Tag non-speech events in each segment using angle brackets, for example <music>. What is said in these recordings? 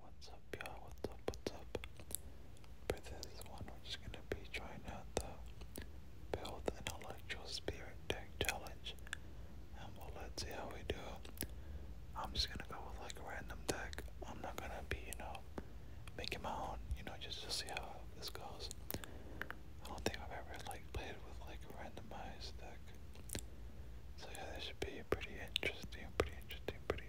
What's up y'all? What's up? What's up? For this one we're just gonna be trying out the Build an Intellectual Spirit Deck Challenge and we'll let's see how we do. I'm just gonna go with like a random deck. I'm not gonna be, you know, making my own, you know, just to see how this goes. I don't think I've ever like played with like a randomized deck. So yeah, this should be pretty interesting, pretty interesting anybody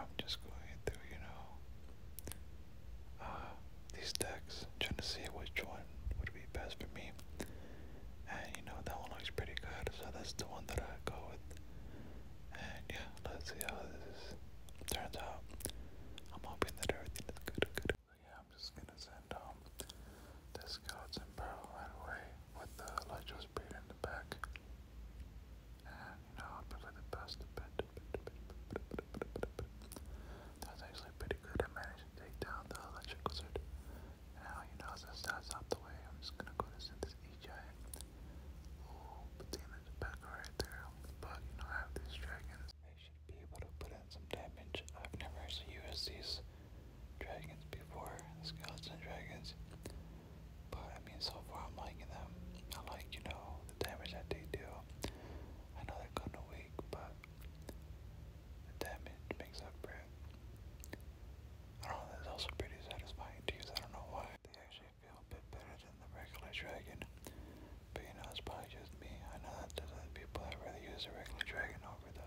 I'm just going through, you know, uh, these decks, trying to see which one would be best for me. And you know that one looks pretty good, so that's the one that I go with. And yeah, let's see how this turns out. I'm hoping that everything is good. yeah, I'm just gonna send um this scouts and barrel right away with the Elijah's beard in the back. And you know, I'll probably the best bit. That's actually pretty good. I managed to take down the electric lizard. Now, you know, since that's out the way, I'm just gonna go to send this E Oh, the in back right there. But you know, I have these dragons. I should be able to put in some damage. I've never used these dragons before, skeleton dragons. But I mean, so far I'm liking them. I like, you know, the damage that they do. I know they're kind of weak, but the damage makes up for it. I don't know, that's also pretty satisfying to use. I don't know why. They actually feel a bit better than the regular dragon. But you know, it's probably just me. I know that there's people that really use the regular dragon over the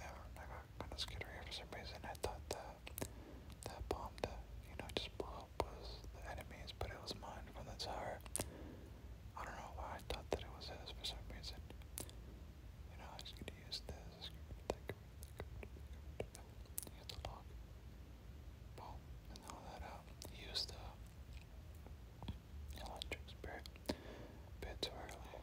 I I got kind of scared here for some reason. I thought that that bomb that you know just blew up was the enemy's, but it was mine from the tower. I don't know why I thought that it was his for some reason. You know, I just gonna use this. Use the lock. Boom, and all that out. Uh, use the electric spirit. Bit too early.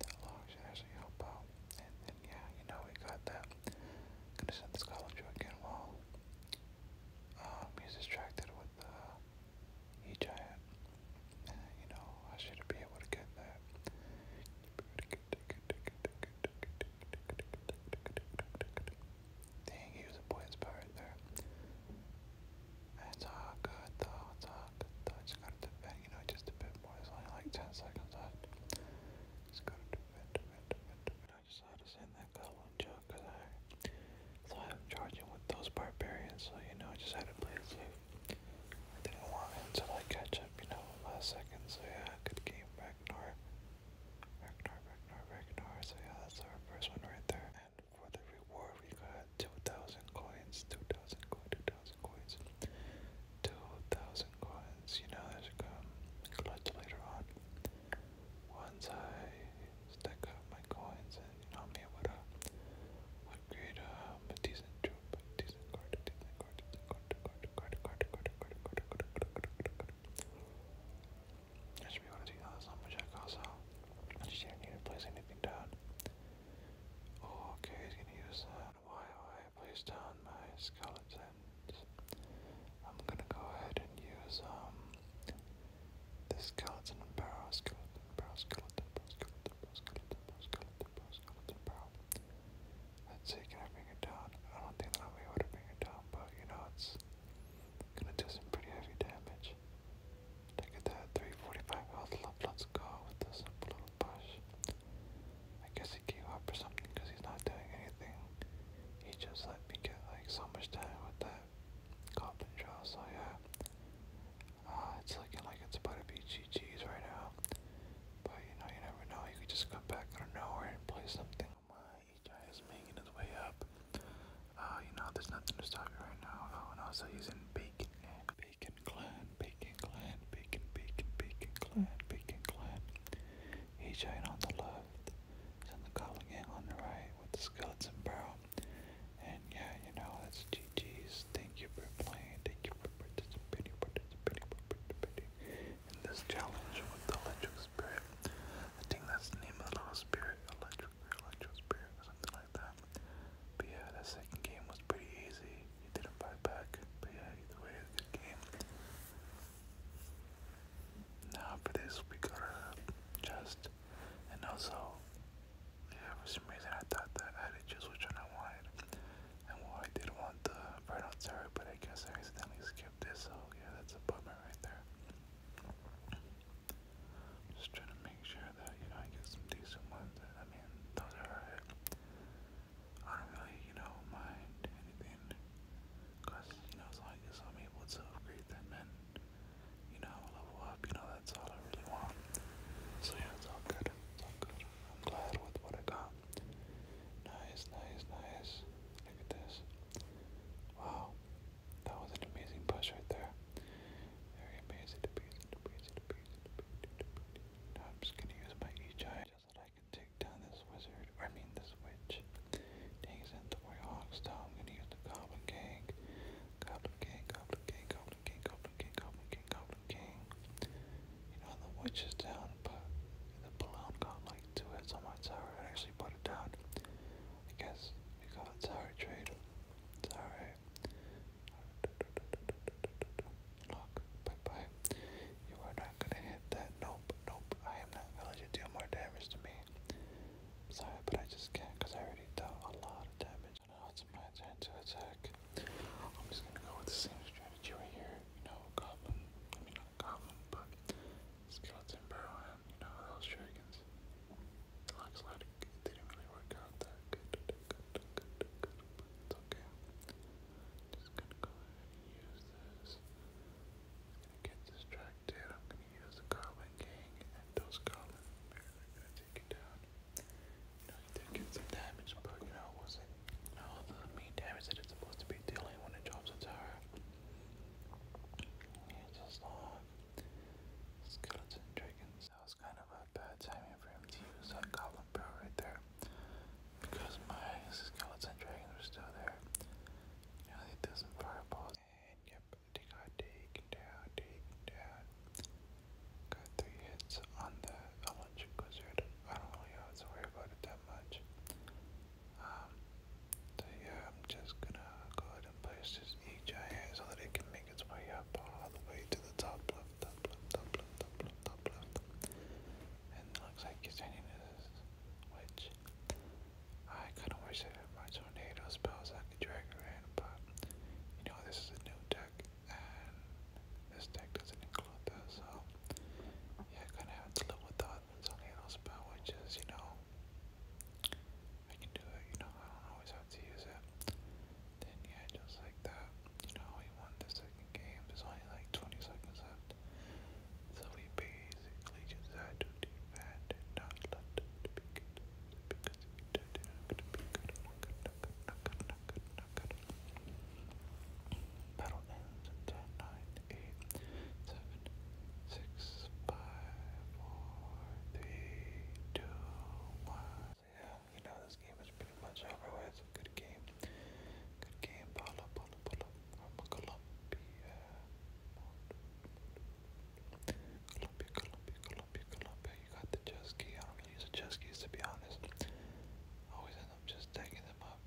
that log should actually help out. And, yeah, you know, we got that. gonna send this column to again while uh, he's distracted with uh, E Giant. you know, I should be able to get that. Dang, he was a boy inspired there. It's all good though, it's all good though. Just gotta dip in, you know, just a bit more. There's only like 10 seconds left. Just gotta dip in, dip in, dip in, I just had to send that goblin joke because I I'm charging with those barbarians, so you know, I just had to play it safe. I didn't want him to catch up, you know, last second, so yeah, good game, Ragnar. Ragnar, Ragnar, Ragnar, so yeah, that's our first one right there. And for the reward, we got 2,000 coins, 2,000 coins, 2,000 coins, 2,000 coins. You know, there's a um, clutch later on. Once I stack up my coins and, you know, I'm to upgrade um, a decent troop, a decent card, a decent card, a decent card, a card, a card, a card, a card, a card, a card, a card, a card, a card, I should be able to do that. That's not much I cost, so I just didn't need to place anything down. Oh, okay, he's gonna use that. While I place down my skeletons, I'm gonna go ahead and use um the skeleton barrel, skeleton barrel, skeleton barrel, skeleton barrel, skeleton barrel, skeleton barrel, Let's see, can I bring it down? I don't think that I'll able to bring it down, but you know it's gonna do some pretty heavy damage. Take it there, 345 health left. Let's go with this blue push. I guess he gave up or something because he's not doing anything. He just let me get like so much time with that goblin draw. So yeah, uh, it's looking like it's about to be GG's right now. But you know, you never know. You could just come back out of nowhere and play something. My HI is making his way up. Uh, you know, there's nothing to stop you right now. Oh, and also he's in bacon Bacon Clan, Bacon Clan, Bacon, Bacon, Bacon Clan, Bacon Clan. Ejine on the left, and the Gang on the right with the skeleton barrel. And yeah, you know, that's GG's. Thank you for playing. Thank you for participating, participating, participating in this challenge with the electric spirit. I think that's the name of the little spirit, electric, electric spirit, or something but yeah, that second game was pretty easy. He didn't fight back. But yeah, either way, good game. Now for this, we got a chest. And also, yeah, for some reason I thought that I had to which one I wanted. And well, I did want the Inferno Terror, but I guess I accidentally skipped this, so yeah, that's a bummer right there. Just trying to make sure that, you know, I get some decent ones. I mean, those are I don't really, you know, mind anything. Because, you know, as long as I'm able to upgrade them and, you know, level up, you know, that's all I really want. So yeah, it's all good. It's all good. I'm glad with what I got. Nice, nice, nice. Look at this. Wow. That was an amazing push right there. Very amazing to be amazing Now I'm just gonna use my each eye just so I can take down this wizard, I mean this witch. Dang is the way hawks down. I'm gonna use the goblin gang. Goblin gang, goblin gang, goblin gang, goblin gang, goblin gang, goblin gang. You know the witch is down, but the balloon got like two hits on my tower and actually put it down. I guess we call it tower trade. It's alright. Look, bye bye. You are not gonna hit that. Nope, nope. I am not gonna let more damage to me. Sorry, but I just can't because I already dealt a lot of damage. Now it's my turn to attack. I'm just gonna go with the same strategy right here. You know, goblin. I mean, not goblin, but skeleton burrow you know those dragons. It it didn't really work out that good. it's okay. Just gonna go and use this. gonna get distracted. I'm gonna use the Goblin and those Goblin Bears are gonna take you down. You you did get some damage, but you know, wasn't you the main damage that it's supposed to be dealing when it drops a tower. it's a long skeleton dragons kind of a bad timing for him to use that goblin bro right there. Because my skeleton dragons were still there. You know, some fireballs. And yep, they got taken down, taken down. Got three hits on the electric wizard. I don't really have to worry about it that much. Um, so yeah, I'm just gonna go ahead and place this E so that it can make its way up all the way to the top left, top top top top And looks like it's hitting which I kind of wish I had my tornado spells I could drag her in, but you know, this is a new deck, and this deck doesn't include that, so yeah, I kind of have to live without the tornado spell, which is, you know, I can do it, you know, I don't always have to use it. Then yeah, just like that, you know, we won the second game. There's only like 20 seconds left, so we basically just had to defend and not let them be good because if we did, they're be good. Not good, not good, not good, not good, not good. Battle ends in 10, yeah, you know this game is pretty much over with. Good game. Good game. Pull up, pull up, pull up. Colombia. Colombia, Colombia, Colombia, You got the chess key. I don't really use the chess keys to be honest. always end up just taking them up.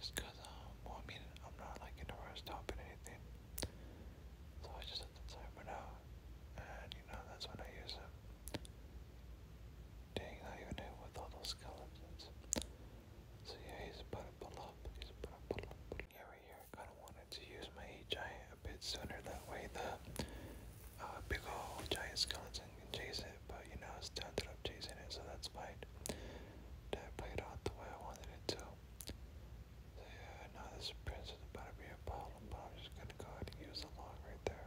Just um, I mean, I'm not like in a rush stopping anything. So I just set the timer now. And you know, that's when I use them. Dang, I even hit with all those skeletons. So yeah, he's about to pull He's about to pull Yeah, right here, kind of wanted to use my giant a bit sooner. That way the uh, big old giant skeleton can chase it. But, you know, it's ended up chasing it, so that's fine. That played out the way I wanted it to. So yeah, now this prince is about to be a problem, I'm just gonna go ahead and use the log right there.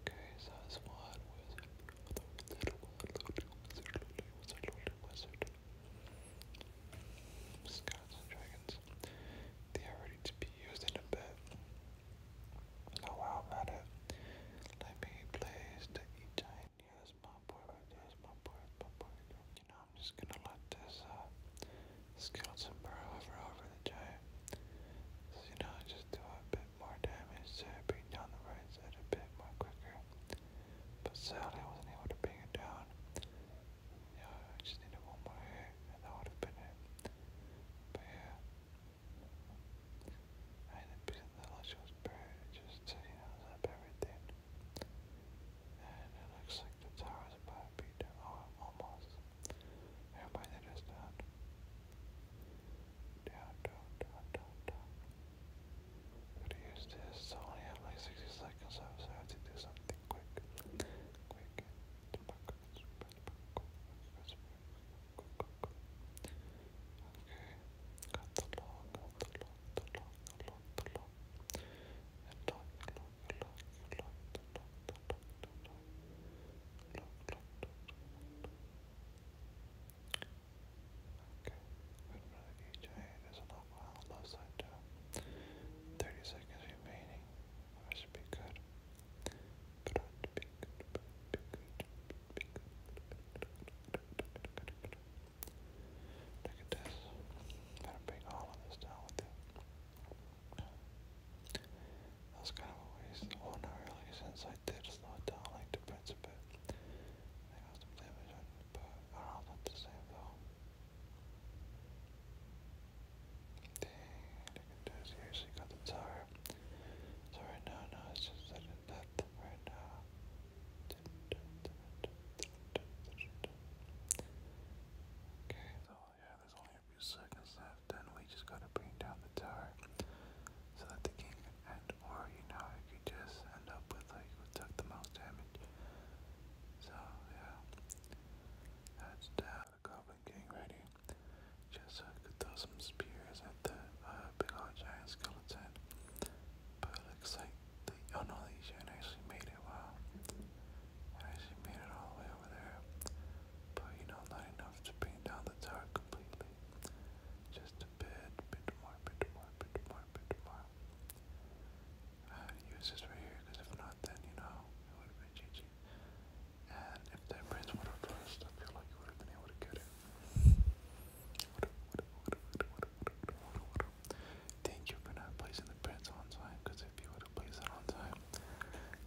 Okay, that's one wizard, another little one, little wizard, little wizard, little wizard. Scots and dragons. They are ready to be used in a bit. Oh wow, i it. Let me place the E giant. my boy right my boy, my boy. You know, I'm just gonna let this uh, skeleton burrow over over the So, you know, just do a bit more damage to bring down the right side a bit more quicker. But sadly, wasn't able to bring it down. Yeah, just needed one more hit, and that would have been it. But yeah. I ended up using the Lush's Bird just you know, zap everything. And it looks like the tower's about to be down. Oh, almost. Everybody that is down down, down, down, down, down. Gotta use this. I only have like 60 seconds so I have to do something quick. Quick. Okay. Got the log, got the log, the log, the log, the log. And log, log, log, log, the log, the log, the log. Log, log, log, log. Okay, wait for EJ. There's a lot on the left 30 seconds remaining. I should be good. But I should be good. But be good. Be good. Look at this. Better bring all of this down with it. That's kind of a waste. Oh, not really, since I did slow down like the Prince a bit. I got some damage but I don't the same though. Dang, they can do it. the tower. So right now, no, it's just that and right now. Okay, so yeah, there's only a few seconds left left, we just gotta bring down the tower so that the king and or you know I could just end up with like who the most damage. So yeah. That's the uh, Goblin King ready. Just so uh, I could throw some spears at the uh, big old giant skeleton. But looks like the oh no the giant actually made it wow. actually made it all the way over there. But you know not enough to bring down the tower completely. Just a bit, bit more, bit more, bit more, bit more. I had to use this right here, because if not, then, you know, it would have been GG. And if that prince would have I feel like you would have been able to get it. Thank you for not placing the prince on time, because if you would have placed it on time,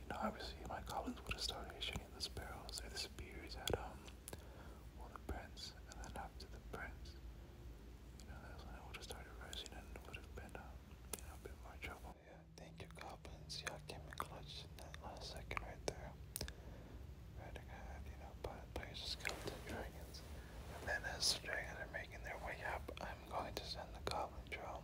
you know, obviously my colleagues would have started shooting at the sparrows the spears at um well the prince and then after the prince you know that's when it would have started rising and it would have been a bit more trouble. Yeah, thank you goblins. Y'all came in clutch that last second right there. Right ahead, you know, but players just got dragons. And then as the dragons are making their way up, I'm going to send the goblin drone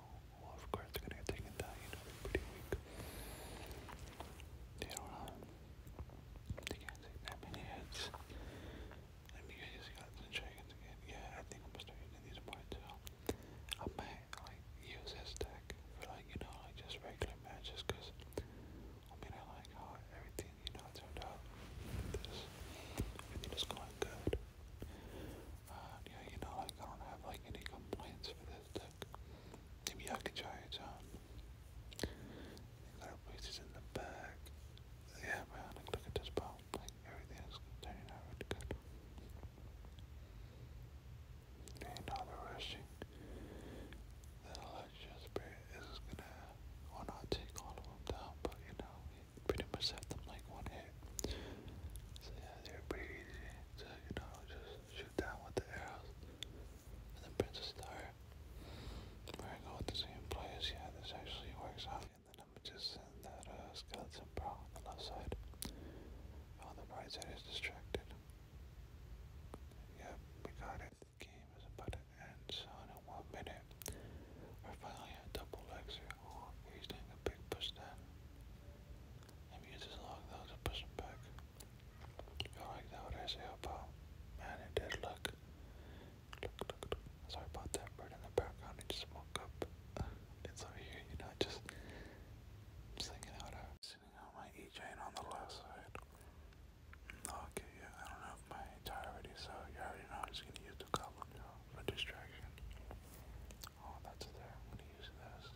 well, oh, of course they're gonna get taken down. You know, pretty weak. They don't know. They can't take that many hits. Let me get these guns and dragons again. Yeah, I think I'm gonna start using these more I might like use this deck for like you know like just regular matches, cause I mean I like how everything you know turned out. This everything is going good. Uh, yeah, you know, like I don't have like any complaints for this deck. Maybe I could try it out. Um, got places in the back. Yeah, man, look at this bomb. Like everything is turning out really good. And now rushing. The electric is gonna, well, not take all of them down, but you know, pretty much had them like one hit. So yeah, they were pretty easy to, you know, just shoot down with the arrows. then Princess Star, where I go with the same players, yeah, this actually works out. And then I'm just in that uh, skeleton bra on the left side. On the distracted. Yep, we got it. The game is about to end, so in one minute, we're finally at double exit he's doing a big push then. Maybe use his though to push him back. You like that what I say about man it did look. Look look look sorry about that bird in the background, it just woke up. <laughs> It's over here, you know, just singing out of sitting on my E chain on the left side. Okay, yeah, I don't have my entire so you already know I'm just gonna use the goblin for distraction. Oh, that's there. I'm gonna use this.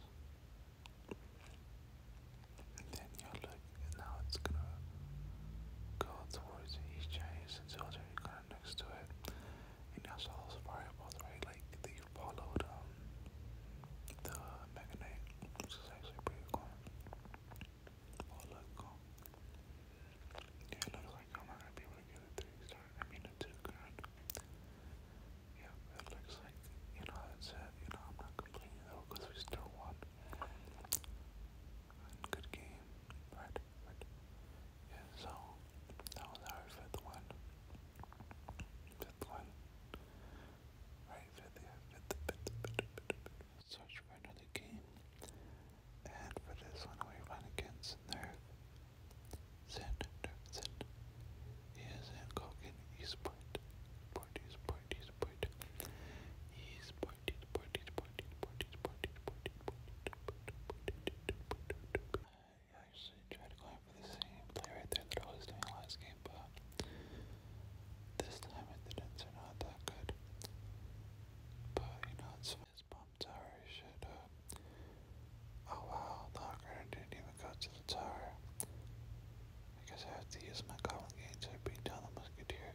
And then you look, and now it's gonna go towards each Chinese soldier kind of next to it. And that's all fireballs, right? Like they followed um the Mega which is actually pretty cool. Oh look, cool. it looks like I'm gonna be able to get a three star I mean a toucan. Yeah, it looks like, you know, that's it. Uh, you know, I'm not complaining though because we still won. Good game. Right, Yeah, so that was our fifth one. Fifth one. Right, fifth, yeah, fifth, fifth, fifth, fifth, fifth. Search for another game. And for this one, we run against Nerve. Xander is at Kogan East East Point East Point. East Point East Point East Point East Point East Point East Point East Point I actually tried to climb for the same play there that I was doing last game, but this time the dents are not that good. But you know it's fun. I'm sorry, shut up. Oh wow, Locker didn't even go to the tower. I I have to use my goblin game to beat down the musketeer.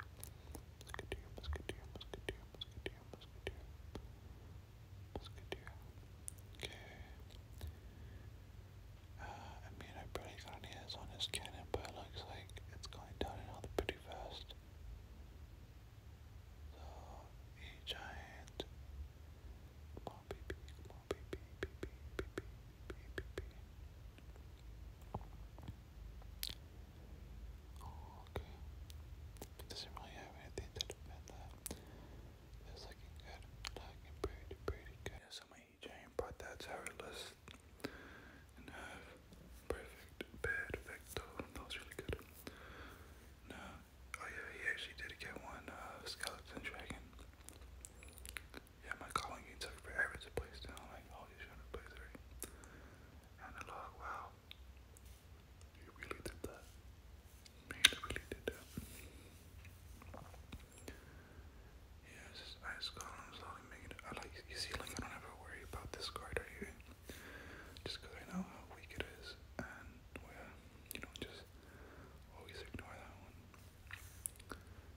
Musketeer, musketeer, musketeer, musketeer, musketeer. Musketeer. Okay. Uh, I mean, I barely got any hits on his cannon, but looks like it's going down in pretty fast. So, a giant. Come on, baby. Come on, baby. Baby, Oh, okay. doesn't have anything to defend That's looking good. Looking pretty, pretty good. so my giant brought that to And have perfect, perfecto. That was really good. Now, Oh yeah, he actually did get one uh, skeleton dragon. Yeah, my calling you took forever to place down. Like, oh, you should have placed three. And the log, wow. You really did that. Man, you really did that. Yeah, it's just ice columns slowly making it. I like, you see, like, I don't ever worry about this card right here. Just because I know how weak it is and where. Well, you know, just always ignore that one.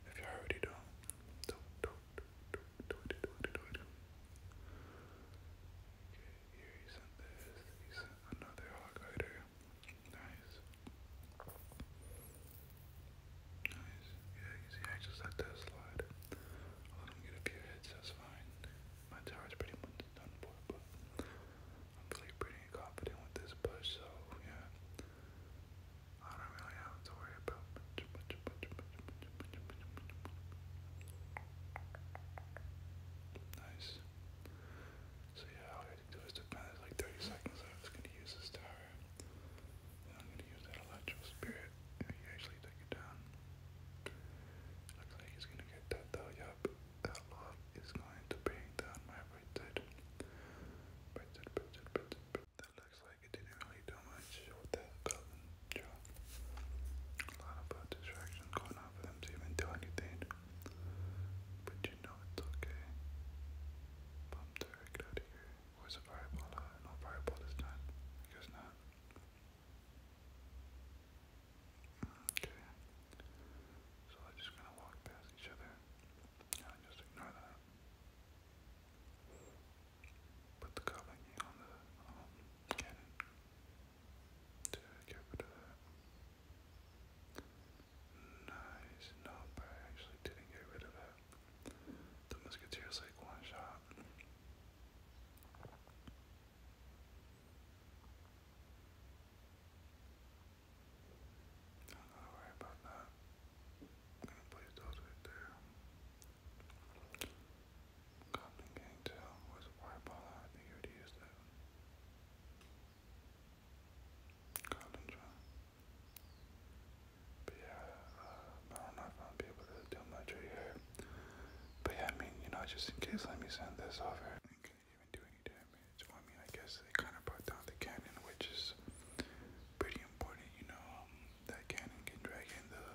If you already don't, don't, don't, don't, do it, do it, do it. Okay, here he sent this, he sent another hog rider. Nice. Nice. Yeah, you see, I just let slide. let him get a few hits, that's fine. My tower's pretty much done for, I'm feeling pretty confident with this push, so yeah. I don't really have to worry about Nice. So yeah, I have do is to like 30 seconds. I was gonna use this tower. I'm gonna use that electrical spirit. If actually take it down. Looks like he's gonna get that though, yup that love is going to bring down my right side. Right side, right That looks like it didn't really do much with that golden A lot of distractions going on for them to even do anything. But you know it's okay. Bump there, get out of here. Where's a fireball? Uh, fireball this time. I not. Okay. So they just gonna walk past each other and just ignore that. Put the goblin on the um, cannon to get rid of that. Nice. No, I actually didn't get rid of it. The musketeer's like one shot. Not gonna worry about that. I'm gonna place those right there. Goblin Gang was a fire baller. I think you already used that. Goblin Drum. But yeah, uh, I don't know if I'll be able to do much right here. But yeah, I mean, you know, just in case, let me send this over. You even do any damage. Well, I I guess they kind of brought down the cannon, which is pretty important, you know. Um, that cannon can drag in the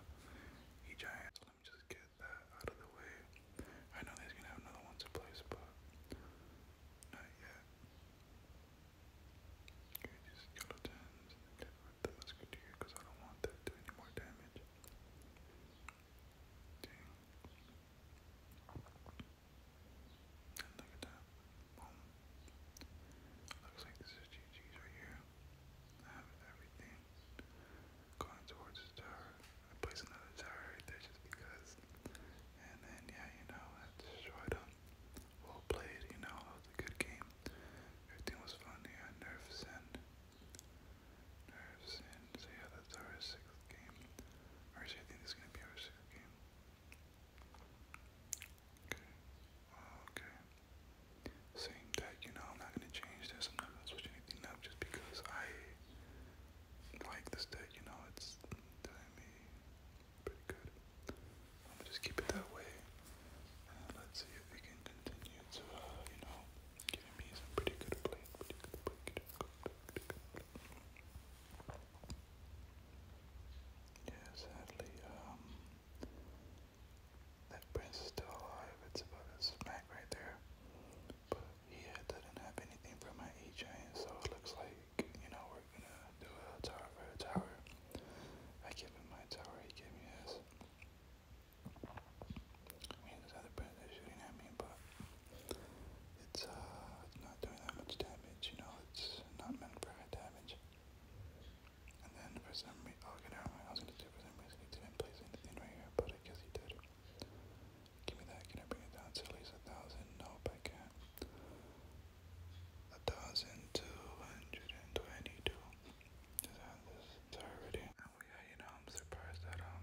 e giant. So let me just get that out of the way. I know there's gonna have another one to place, but not yet. Okay, these skeletons. Get rid of the because I don't want that to do any more damage. Dang. Looks like this is GG's right here. I have everything going towards the tower. I place another tower right just because. And then, yeah, you know, I destroyed them. Well played, you know, it good game. Everything was fun. Yeah, nerfs and nerves, and so yeah, that's sixth game. Or actually, think this is gonna be our sixth game. Okay. okay. Same deck, you know, I'm not gonna change this. i gonna switch anything up just because I like this deck. You know, it's doing me pretty good. I'm just keep it that way. let's see if we can continue to, uh, you know, giving me some pretty good play, pretty good play, pretty good, pretty good, pretty yeah, sadly, um, that prince is still alive. It's about smack right there. But yeah, doesn't have anything for my E chain, so it looks like, you know, we're gonna do a tower for a tower. I give him my tower, he gave me his. mean, there's other prince that's shooting at me, but it's uh, it's not doing that much damage, you know, it's not meant for high damage. And then for some reason, oh, get gonna do for some reason he didn't place anything right here, but I guess he did. Give me that, can I bring it down to at least a thousand? Nope, I can't. A thousand two hundred and twenty-two. Is that this? already. Oh uh, yeah, you know, I'm surprised that, um,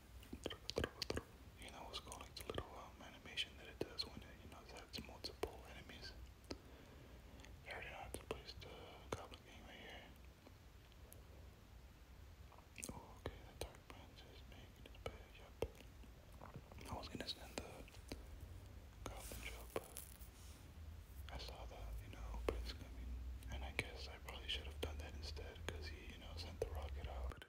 You know, it's called like the little um, animation that it does when it, you know, it has multiple enemies. I already to place the goblin game right here. Oh, okay, the dark branch is making it bad, yep. I was gonna send the goblin joke, but I saw that, you know, Prince coming, and I guess I probably should have done that instead, he, you know, sent the rocket out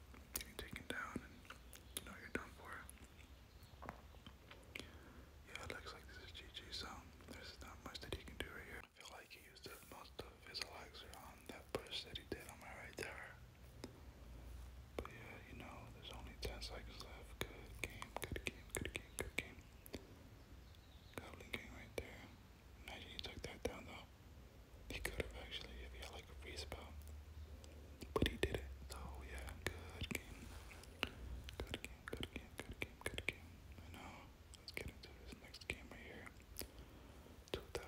getting taken down and you know you're done for. Yeah, it looks like this is GG, so there's not much that he can do right here. feel like he used most of his elixir on that push that he did on my right there. But yeah, you know, there's only 10 seconds left. Good game, good game, good game, good game. Goblin game right there. Imagine he took that down though. He could have actually if he had like a free spell. But he did it. So yeah, good game. Good game, good game, good game, good game. I know. Let's get into this next game right here. 2000, 2000, And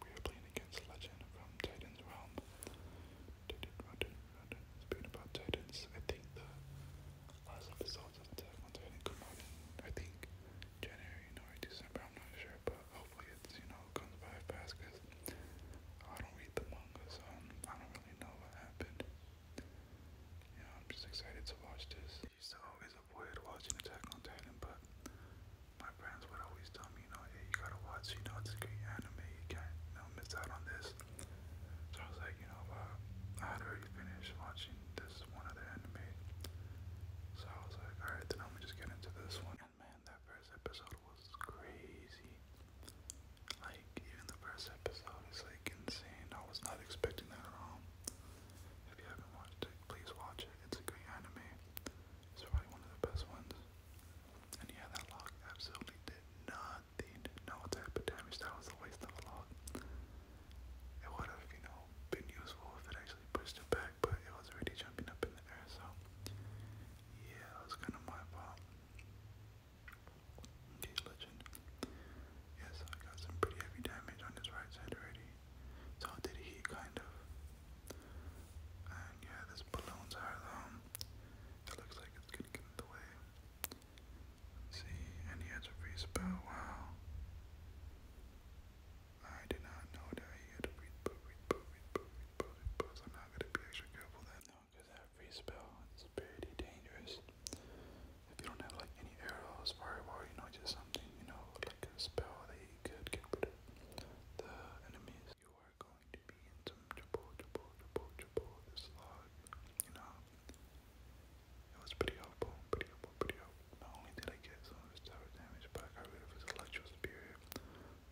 we are playing against Legend from Titan's Realm. Titan, Titan, Titan. Speaking about Titans, I think the ones haven't come out in, I think, January or December. I'm not sure, but hopefully it's, you know, comes by fast because I don't read the manga, so I'm, I don't really know what happened. Yeah, I'm just excited to watch this. I used to always avoid watching Attack on Titan, but my friends would always tell me, you know, hey, you gotta watch, you know, it's a great anime, you can't, you know, miss out on this. So I was like, you know, uh, I had already finished watching this one other anime. So I was like, alright, then I'm just get into this one. And man, that first episode was crazy. Like, even the first episode is like insane. I was not expecting that at all. If you haven't watched it, please watch it. It's a great anime. It's probably one of the best ones. And yeah, that log absolutely did nothing. No type of damage. That was a waste of a log it would have, you know, been useful if it actually pushed it back, but it was already jumping up in the air, so yeah, that was kind of my fault. Okay, legend. Yeah, I got some pretty heavy damage on his right side already. So did he, kind of. And yeah, this balloon's higher though. Um, it looks like it's gonna get in the way. see, and he has a free spell, wow. I did not know that he had a read book, read book, read book, read book, read book. I'm not gonna be extra careful then. No, because that spell is pretty dangerous. If you don't have like any arrows, fireball, you know, just something, you know, like a spell that you could get rid the enemies. You are going to be in some trouble, trouble, trouble, trouble. This log, you know. It was pretty helpful, pretty helpful, pretty helpful. Not only did I get some of his tower damage, but I got rid of his electro superior.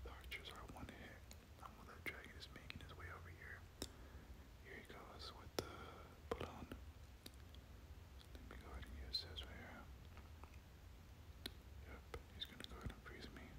The archers one hit. And while that dragon is making his way over here, here he goes with the balloon. Let me go ahead and use this right here. Yep, he's gonna go ahead and freeze me. Nice.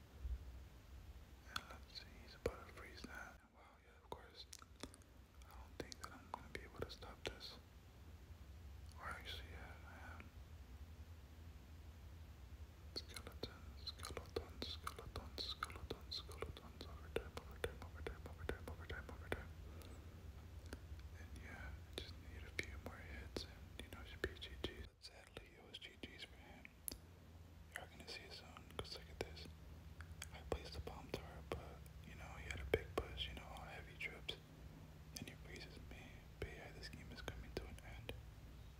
And let's see, he's about to freeze that. Wow, yeah, of course. I don't think that I'm gonna be able to stop this. Or actually, yeah, I am. Skeletons, skeletons, skeletons, skeletons, skeletons, overtime, overtime, overtime, overtime, overtime, overtime. And yeah, just need a few more hits and, you know, it should Sadly, it was GG's for him. You are gonna see it soon, cause look at this. I placed the bomb turret, but, you know, he had a big push, you know, on heavy trips. And he freezes me, but this game is coming to an end.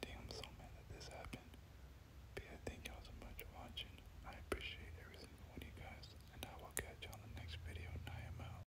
Damn, so mad that this happened. But thank y'all so much for watching. I appreciate everything single you guys, and I will catch y'all in the next video, and I am out.